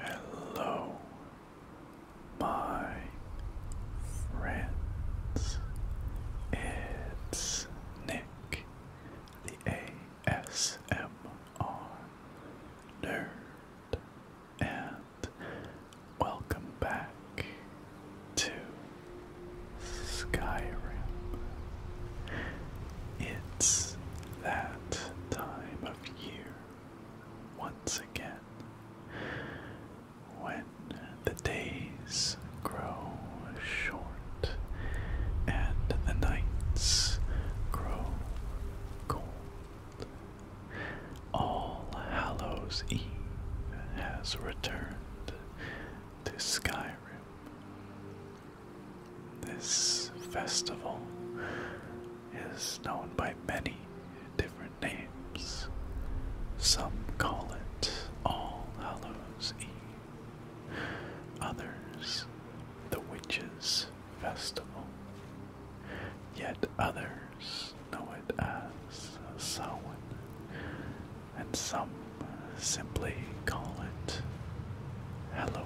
Hello, my friends. It's Nick, the ASM are and welcome back to Skyrim. It's that time of year once again when the days grow short and the nights grow cold. All Hallows' Eve has returned to Skyrim. This festival is known by many different names. Some call it All Hallows' Eve, others the Witches' festival. Yet others know it as Samhain, and some simply call it Halloween.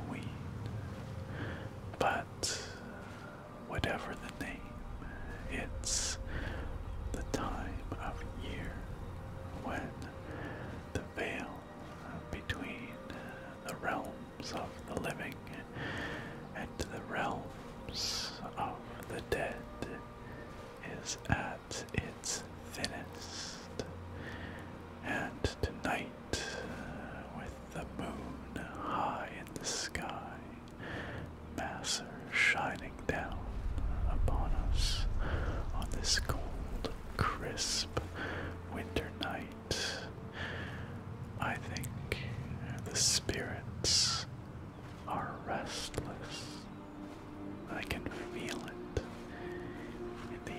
But whatever the name, it's the time of year when the veil between the realms of the living and the realms of the dead is at its thinnest. And tonight, with the moon high in the sky, Masser shining down upon us on this cold, crisp winter night, I think the spirits are restless. I can feel it in the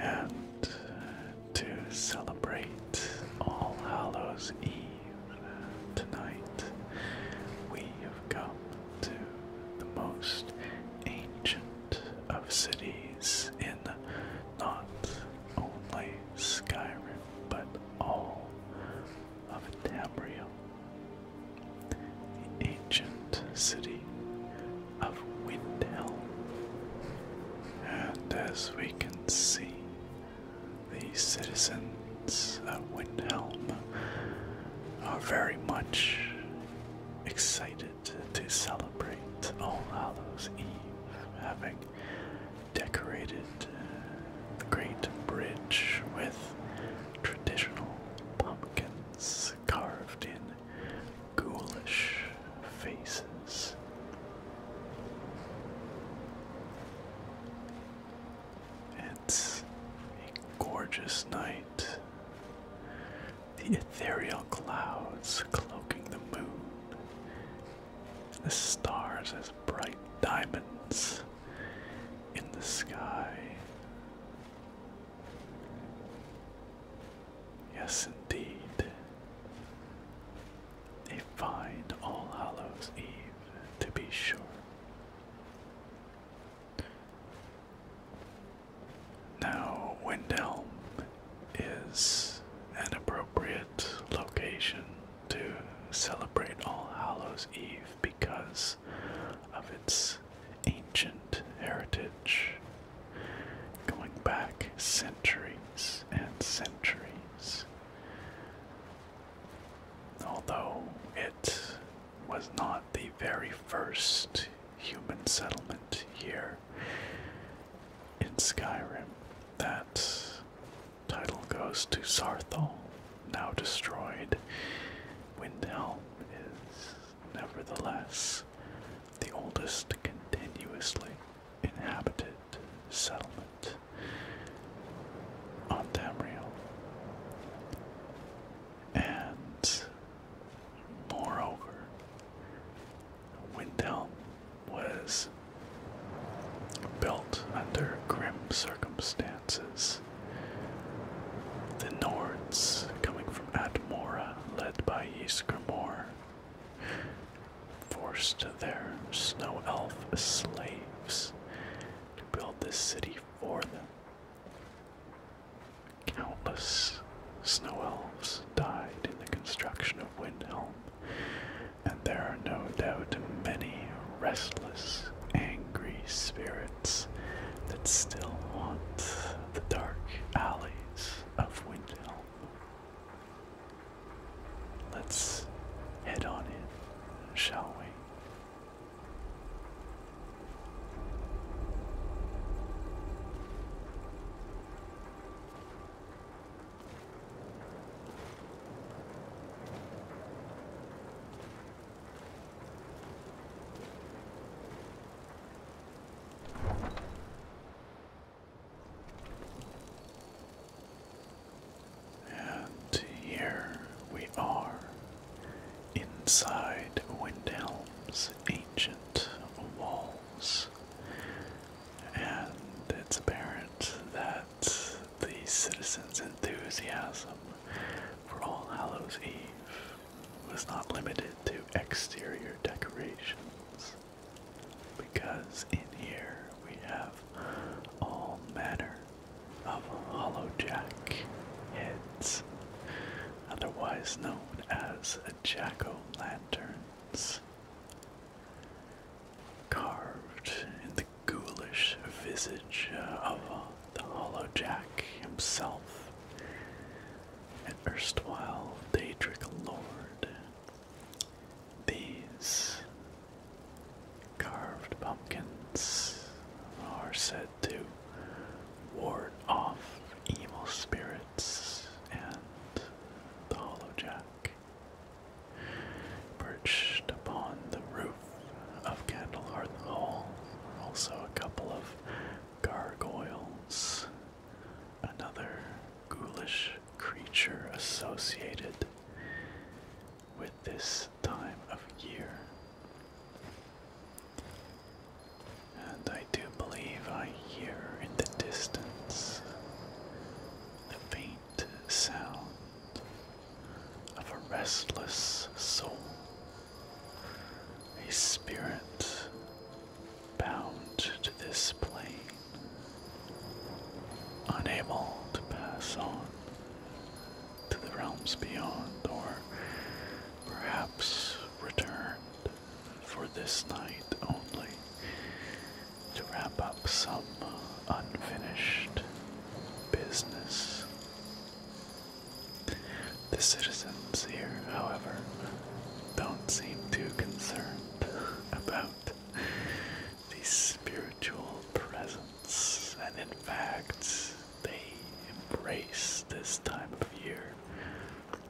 air. And uh, to celebrate All Hallows Eve tonight, we have come to the most ancient of cities in not only Skyrim but all of Tamriel, the ancient city of Windhelm. And as we can see, the citizens of Windhelm are very much excited to celebrate All Hallows Eve, having decorated uh, the Great Bridge with traditional pumpkins carved in ghoulish faces. It's a gorgeous night the ethereal clouds cloaking the moon, the stars as bright diamonds in the sky. Yes, indeed. A fine All Hallows Eve, to be sure. Now, Windhelm is an appropriate location to celebrate All Hallows Eve because of its ancient heritage, going back centuries and centuries. Although it was not the very first human settlement here in Skyrim. That title goes to Sarthal, now destroyed. Windhelm is nevertheless the oldest continuously inhabited settlement on Tamriel. And Moreover, Windhelm was built under grim circumstances. The Nords, coming from Atmora, led by Ysgrimor, forced their snow elf slaves to build this city for them. Countless snow elves died in the construction of Windhelm, and there are no doubt many restless, angry spirits that still haunt the dark alleys of Windhelm. Let's head on in, shall we? And here we are inside Windhelm's ancient walls, and it's apparent that the citizens' enthusiasm for All Hallows Eve was not limited to exterior decorations, because in here we have all manner of hollow jack heads, otherwise known as jack-o'-lanterns carved in the ghoulish visage uh, of uh, the hollow jack himself, an erstwhile Daedric lord. These carved pumpkins are said to ward off evil spirits and the hollow jack Perched upon the roof of Candlehearth Hall also a couple of gargoyles, another ghoulish creature associated with this time of year. And I do believe I hear in the distance the faint sound of a restless soul, a spirit bound to this plane, unable to pass on to the realms beyond, or perhaps return for this night only to wrap up some unfinished business. The citizens here, however, don't seem too concerned about the spiritual presence, and in fact, they embrace this time of year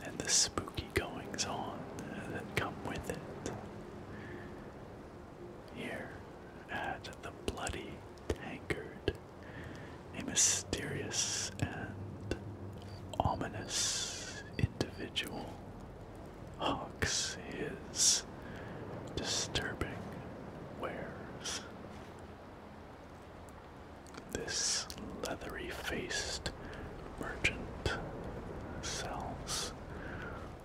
and the spooky goings on that come with it. Here at the Bloody Tankard, a mysterious and ominous individual hawks his disturbing wares. This leathery faced merchant sells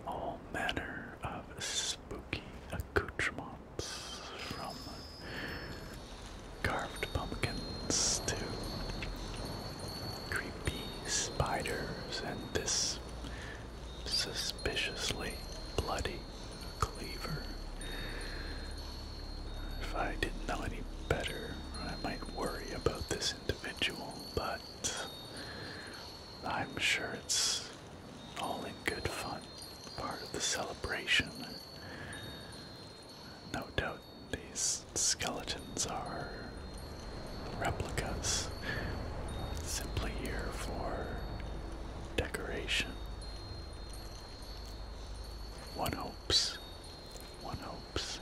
all manner of spooky accoutrements from carved pumpkins to creepy spiders and this suspiciously bloody cleaver. If I didn't know any better, I might worry about this individual, but I'm sure it's all in good fun, part of the celebration. No doubt these skeletons are replicas, simply here for decoration. One hopes one hopes.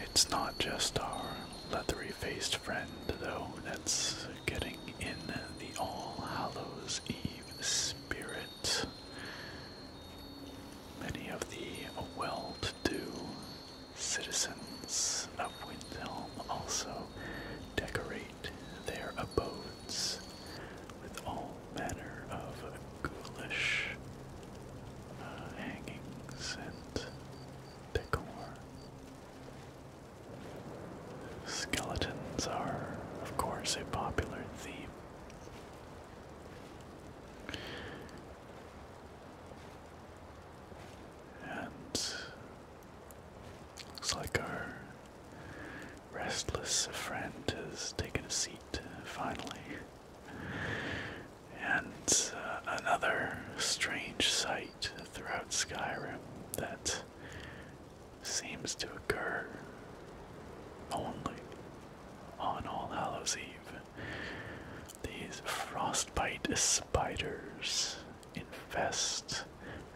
It's not just our leathery faced friend, though, that's getting in the All Hallows Eve spirit. Many of the well to do citizens of Windhelm also decorate their abodes with all manner of ghoulish uh, hangings and decor. Skeletons are, of course, a popular theme. And looks like our restless a friend has taken a seat uh, finally. And uh, another strange sight throughout Skyrim that seems to occur only on All Hallows Eve. These frostbite spiders infest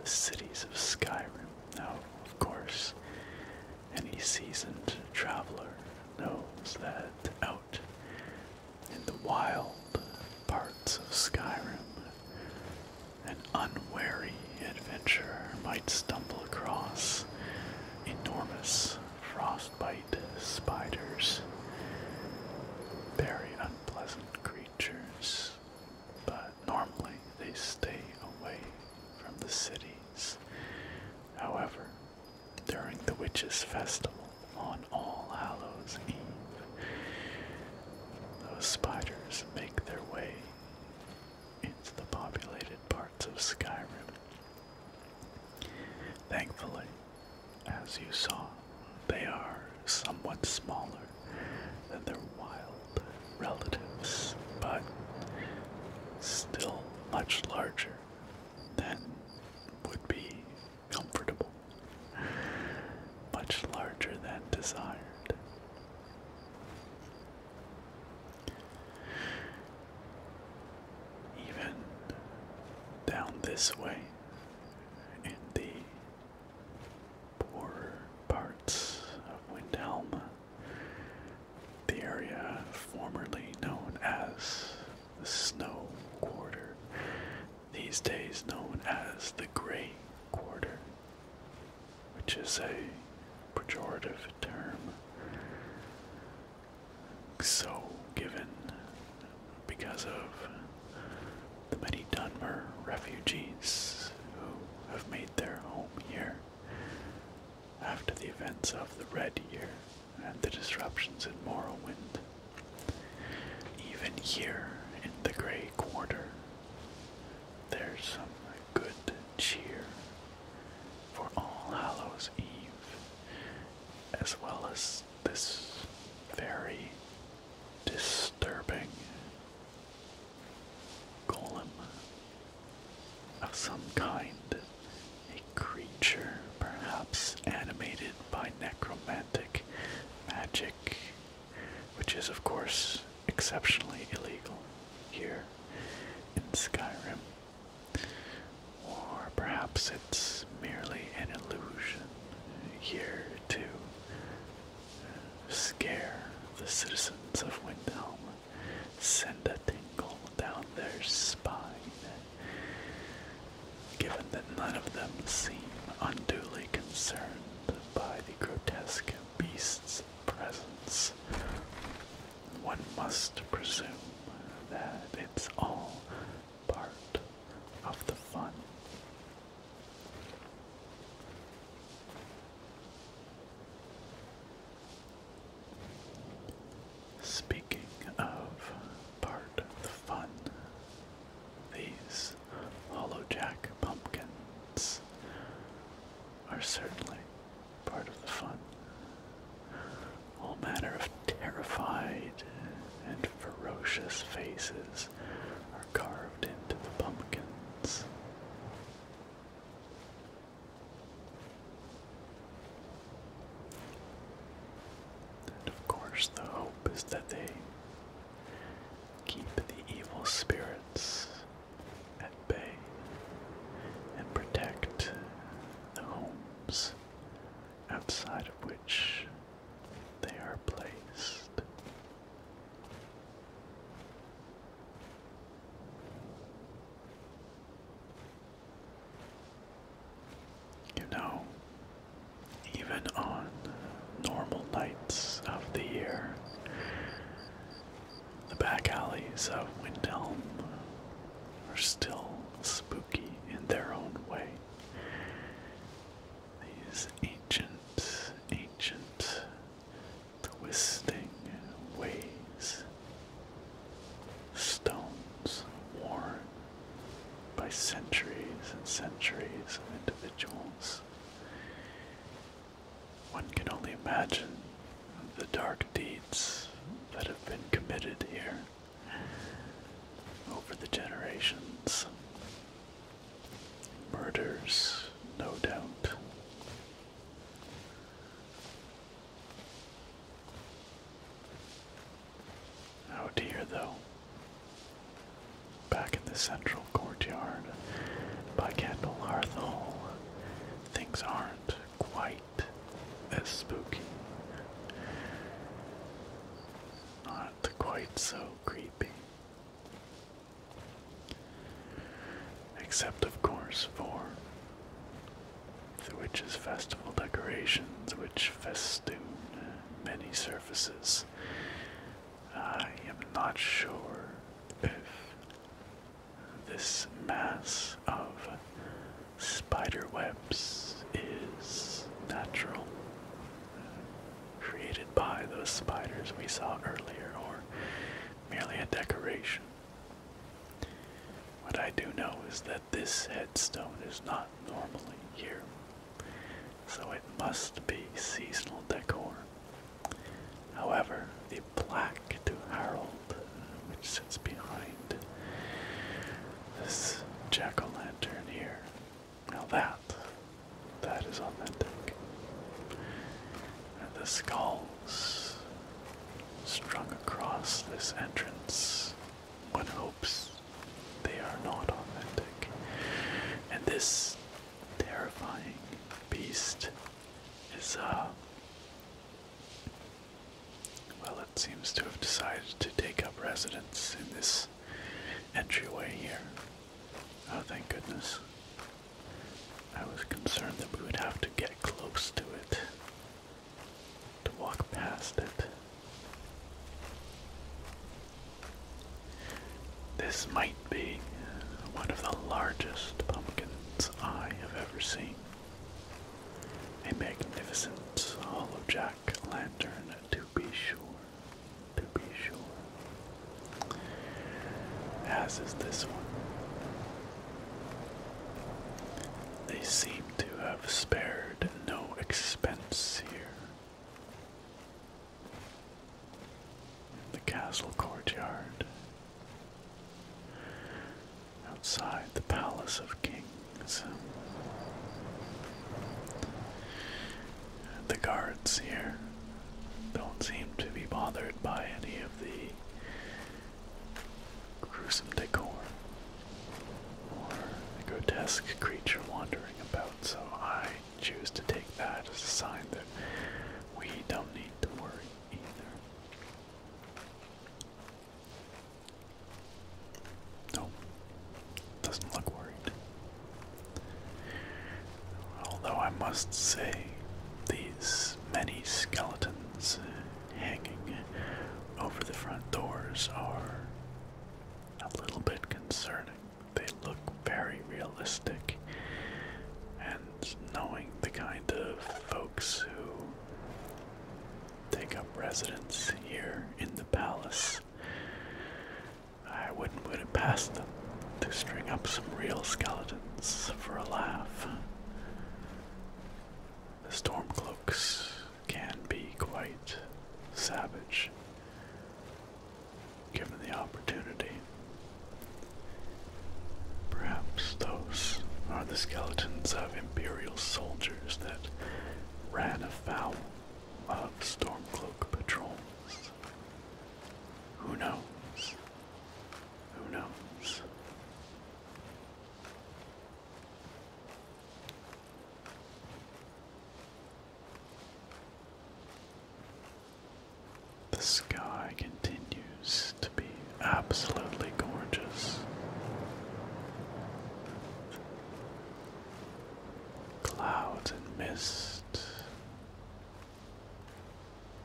the cities of Skyrim. Now, of course, any seasoned traveler knows that out in the wild parts of Skyrim, an unwary adventurer might stumble across enormous frostbite spiders. Very unpleasant creatures, but normally they stay away from the cities. However, during the Witches' Festival on All Hallows' Eve, those spiders make their way into the populated parts of Skyrim. Thankfully, as you saw, they are somewhat smaller than their wild relatives, but still much larger than would be comfortable, much larger than desired. Even down this way, in the poorer parts of Windhelma, the area formerly known as the Snow Quarter, these days known as the Grey Quarter, which is a pejorative term. So given because of the many Dunmer refugees who have made their home here after the events of the Red Year and the disruptions in Morrowind. Even here in the Grey Quarter, there's some good cheer for All Hallows Eve, as well as this very disturbing golem of some kind, a creature perhaps animated by necromantic magic, which is, of course, exceptionally illegal here in Skyrim. Or perhaps it's merely an illusion here to scare the citizens of Windhelm send a tingle down their spine. Given that none of them seem unduly concerned by the grotesque beast's presence, one must presume that it's all part of the fun. Speaking of part of the fun, these Hollow Jack pumpkins are certainly part of the fun. All manner of terrified and ferocious faces are carved into the pumpkins. And of course, the hope is that they keep the evil spirits at bay and protect the homes outside of which they are placed. You know, even on normal nights of the year, the back alleys of Windhelm are still spooky in their own way. These ancient, ancient the twisting ways. Stones worn by centuries and centuries of individuals. One can only imagine the dark deeds that have been committed here over the generations. Murders, no doubt. Out here, though, back in the central courtyard by Candle Hall, things aren't quite as spooky. Not quite so creepy except of course for the witches' festival decorations which festoon many surfaces. I am not sure if this mass of spider webs is natural, created by those spiders we saw earlier, or merely a decoration. What I do know is that this headstone is not normally here, so it must be seasonal decor. However, the plaque to Harold, which sits behind this jack o' lantern here, now that, that is authentic. And the skull strung across this entrance. One hopes they are not authentic. And this terrifying beast is, uh, well, it seems to have decided to take up residence in this entryway here. Oh, thank goodness. I was concerned that we would have to get close to it to walk past it. This might be one of the largest pumpkins I have ever seen. A magnificent hollow jack lantern, to be sure, to be sure. As is this one. They seem to have spared no expense here. The castle courtyard. Outside the Palace of Kings. The guards here don't seem to be bothered by any of the gruesome decor or grotesque creature wandering about, so I choose to take that as a sign that we don't need to worry either. Nope, doesn't look worried. Although I must say, these many skeletons hanging over the front doors are a little bit concerning. They look very realistic, and knowing the kind of folks who take up residence here in the palace, I wouldn't put would it past them to string up some real skeletons for a laugh. The Stormcloaks can be quite savage given the opportunity. Perhaps those are the skeletons of Imperial soldiers that ran afoul of Stormcloak patrols. Who knows? Who knows? The sky continues to be absolutely gorgeous. Clouds and mist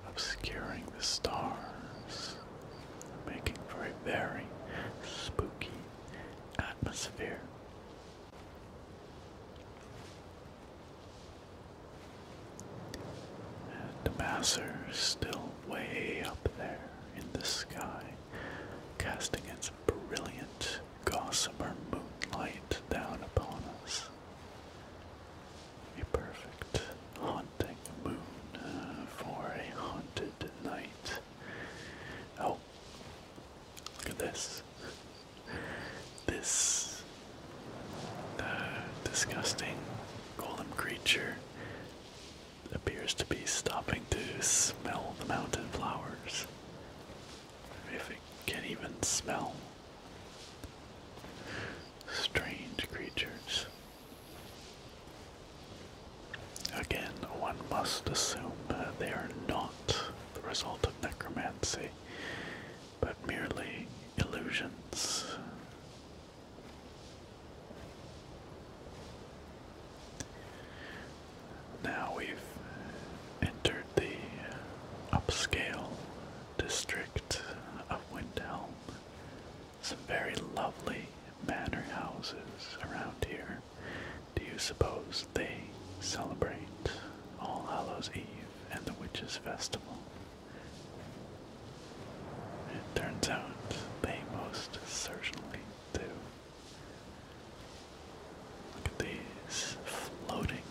obscuring the stars making for a very spooky atmosphere. And the Masser still way up there in the sky, casting its brilliant gossamer moonlight down upon us. A perfect haunting moon uh, for a haunted night. Oh, look at this. This uh, disgusting golem creature appears to be stopping to smell the mountain flowers. If it can even smell. Strange creatures. Again, one must assume uh, they are not the result of necromancy, but merely illusions. Now we've entered the upscale district of Windhelm, some very lovely manor houses around here. Do you suppose they celebrate All Hallows Eve and the Witches' Festival? It turns out they most certainly do. Look at these floating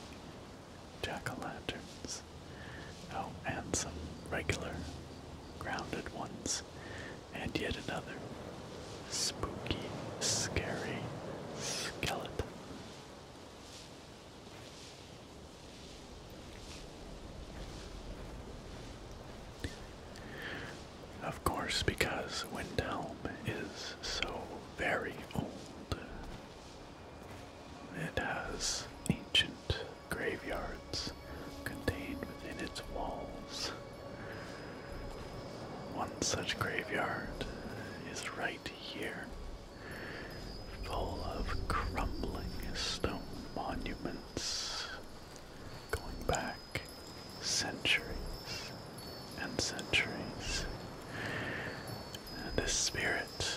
jack o' lanterns. Oh, and some regular grounded ones and yet another spooky, scary skeleton. Of course, because Windhelm is so very old, it has ancient graveyards contained within its walls. One such graveyard is right here, full of crumbling stone monuments going back centuries and centuries. And the spirit,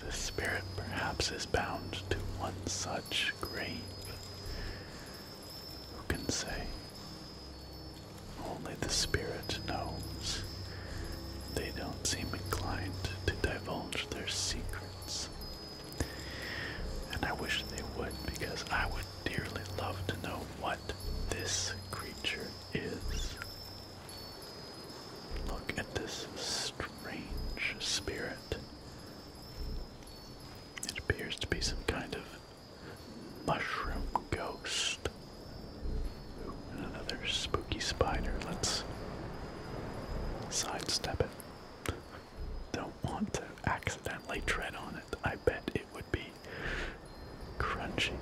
this spirit perhaps is bound to one such grave. Who can say? Only the spirit knows. They don't seem inclined to divulge their secrets. And I wish they would, because I would dearly love to know what this creature is. Look at this strange spirit. It appears to be some kind of mushroom ghost. another spooky spider. Let's sidestep it. Don't want to accidentally tread on it. I bet it would be crunchy.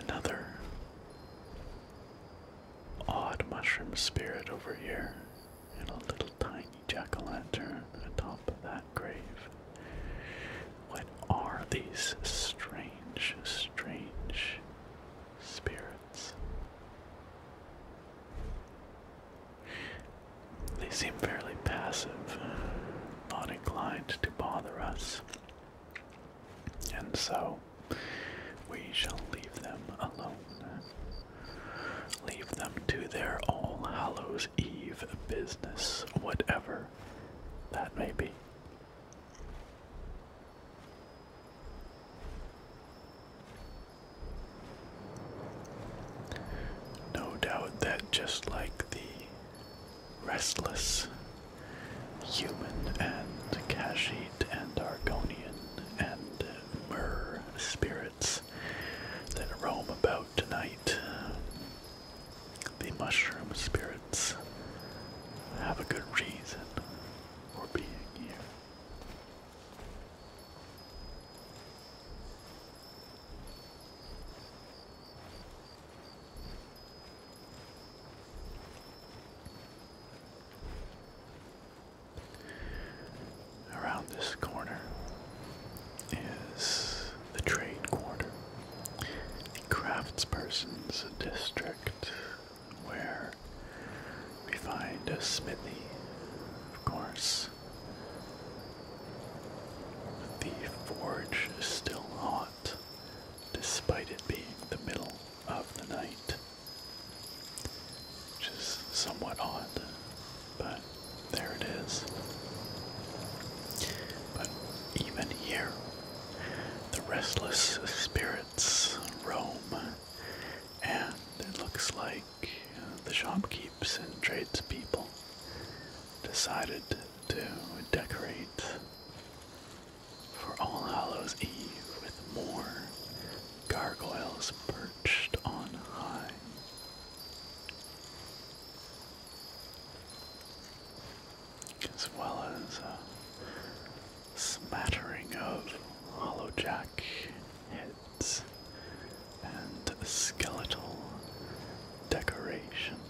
Another odd mushroom spirit over here, and a little tiny jack o' lantern atop of that grave. What are these strange, strange spirits? They seem fairly passive, not inclined to bother us. And so we shall leave them alone. Leave them to their All Hallows Eve business, whatever that may be. No doubt that just like the restless human and Kashid and Argonian, and uh, my spirits that roam about tonight. The mushroom spirits have a good reason for being here. Around this corner is the trade quarter, the craftsperson's district, where we find a smithy, of course. The forge is still hot, despite it being the middle of the night. Which is somewhat odd, but there it is. But even here, the restless spirits roam, and it looks like the shopkeepers and tradespeople decided to decorate for All Hallows Eve with more gargoyles perched on high. As well as a smattering of hollowjack heads and skeletal decorations.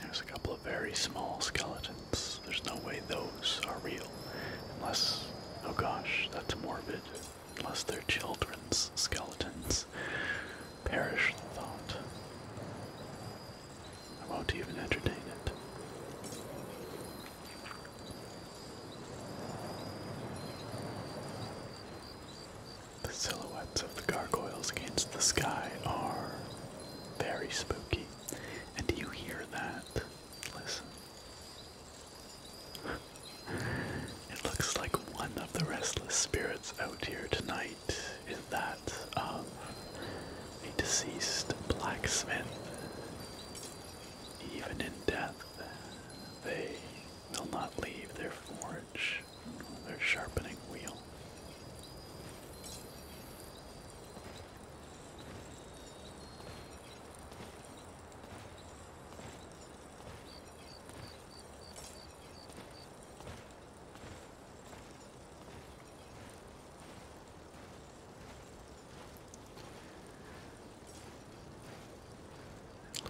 There's a couple of very small skeletons. There's no way those are real. Unless, oh gosh, that's morbid. Unless they're children's skeletons. Perish the thought. I won't even entertain it. The silhouettes of the gargoyles against the sky are very spooky. And do you hear that? Listen. it looks like one of the restless spirits out here tonight is that of a deceased blacksmith. Even in death, they will not leave their forge, their sharpening wheel.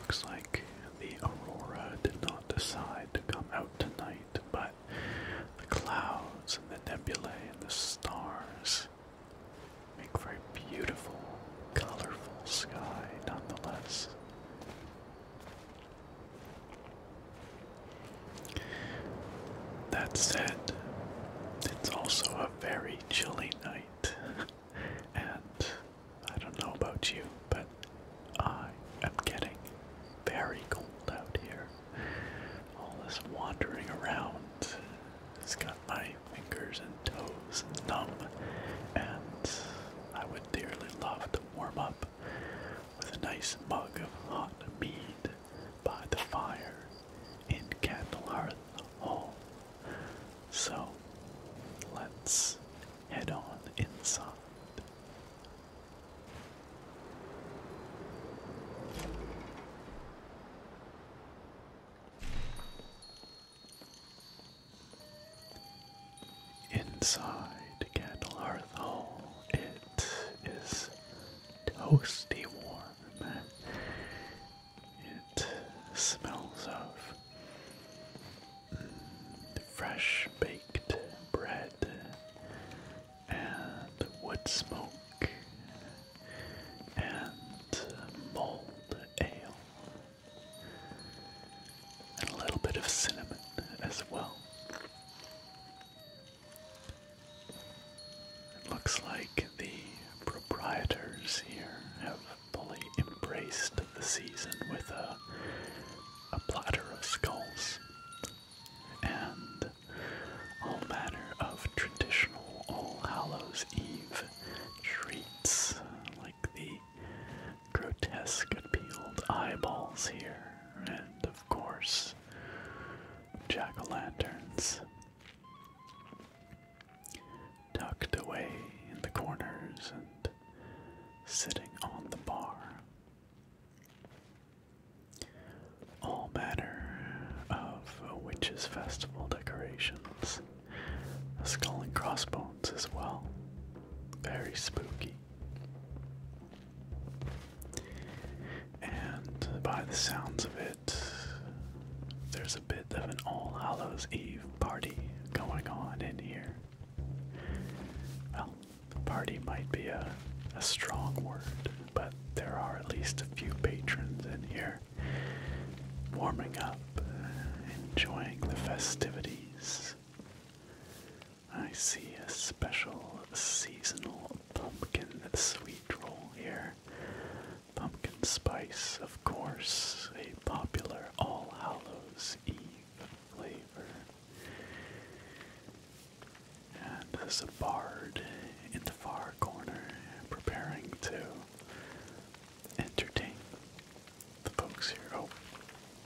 Looks like the Aurora did not decide to come out tonight, but got the clouds and the nebulae and the stars. Make a very beautiful, colorful sky, nonetheless. That said, it's also a very chilly night, and I don't know about you, but I am getting very cold out here all this wandering around has got my fingers and toes numb, and I would dearly love to warm up with a nice mug of hot mead by the fire in Candlehearth Hall. So let's head on inside. Inside Candle Hearth Hall, it is toasty warm. It smells of fresh baked bread and wood smoke and malt ale and a little bit of cinnamon as well. looks like the proprietors here have fully embraced the season with a, a platter of skulls and all manner of traditional All Hallows Eve treats, like the grotesque peeled eyeballs here, and of course, jack o' lanterns. Tucked away in the corners and sitting on the bar all manner of witches' festival decorations, skull and crossbones as well. Very spooky. And by the sounds of it, there's a bit of an All Hallows Eve party going on in here. Well, party might be a, a strong word but there are at least a few patrons in here warming up, uh, enjoying the festivities. I see a special seasonal pumpkin sweet roll here. Pumpkin spice, of course, a popular All Hallows Eve flavor. And there's a bard in the far corner preparing to entertain the folks here. Oh,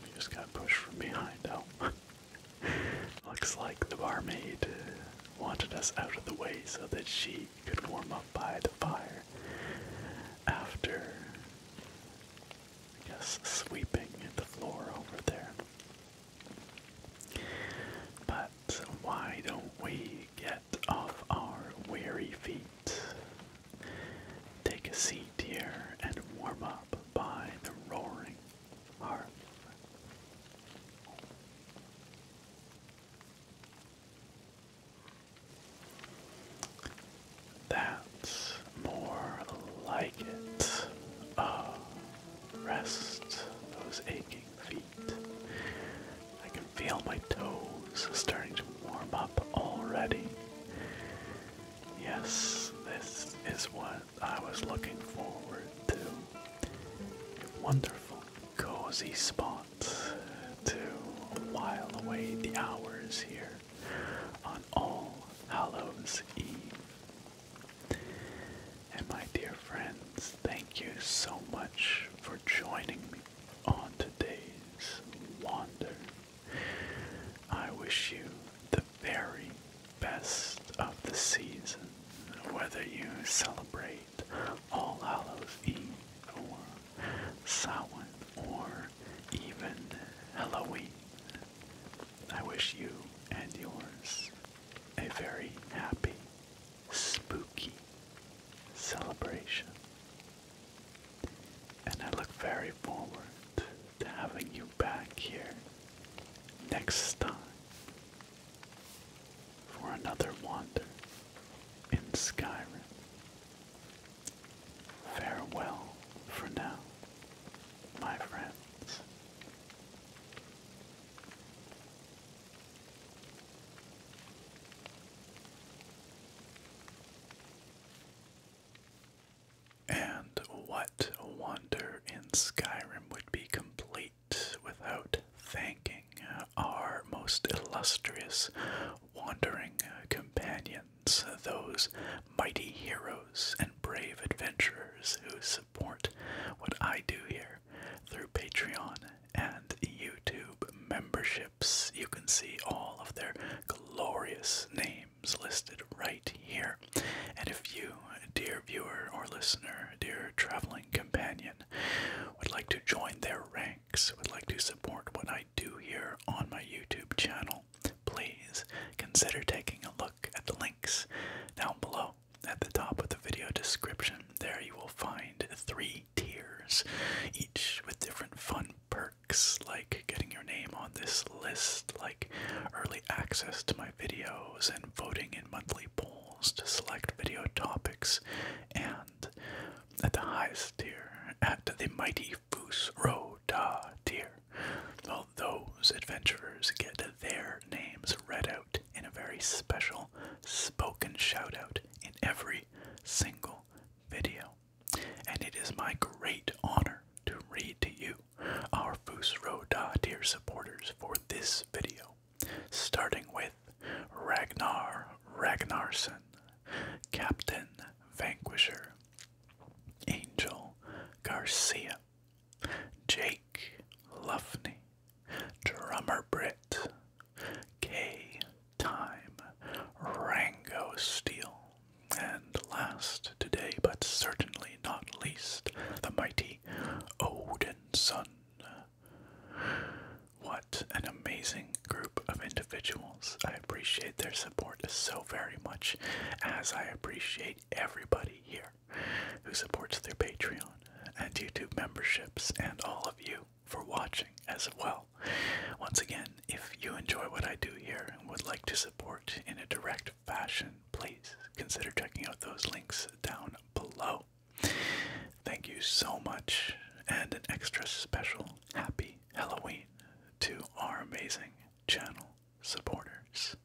we just got pushed from behind. Oh. Looks like the barmaid wanted us out of the way so that she could warm up by the fire after, I guess, sweeping the floor over there. But why don't we get off our weary feet? Take a seat here and warm up by the roaring hearth. That's more like it. Ah, rest those aching feet. I can feel my toes starting to warm up already. Yes, this is what I was looking forward to. A wonderful, cozy spot to while away the hours here on All Hallows Eve. And my dear friends, thank you so much for joining me on today's wander. I wish you the very best of the season, whether you celebrate All Hallows Eve or Samhain or even Halloween. I wish you and yours a very happy spooky celebration. And I look very forward to having you back here next time for another wander in Skyrim. Farewell for now, my friends. And what wonder in Skyrim would be complete without thanking our most illustrious wandering companions, those mighty heroes and brave adventurers who support what I do here through Patreon and YouTube memberships. You can see all of their glorious names listed right here. And if you, dear viewer or listener, dear traveling companion, would like to join their ranks, would like to support what I do here on my YouTube channel, please consider taking a look at the links down below at the top of the video description, there you will find three tiers, each with different fun perks like getting your name on this list, like early access to my videos, and voting in monthly polls to select video topics. And at the highest tier, at the mighty Foos Roda tier, all those adventurers get their names read out in a very special spoken shout out in every single video. And it is my great honor to read to you, our Fusro Da dear supporters, for this video, starting with Ragnar Ragnarsson, Captain Vanquisher, Angel Garcia, Jake Luffney, Drummer Brit, K Time, Rango Steel, and last today, but certainly not least, the mighty Odin Sun. What an amazing group of individuals. I appreciate their support so very much, as I appreciate everybody here who supports their Patreon and YouTube memberships, and all of you for watching as well. Once again, if you enjoy what I do here and would like to support in a direct fashion, please consider checking out those links down below. Thank you so much, and an extra special happy Halloween to our amazing channel supporters.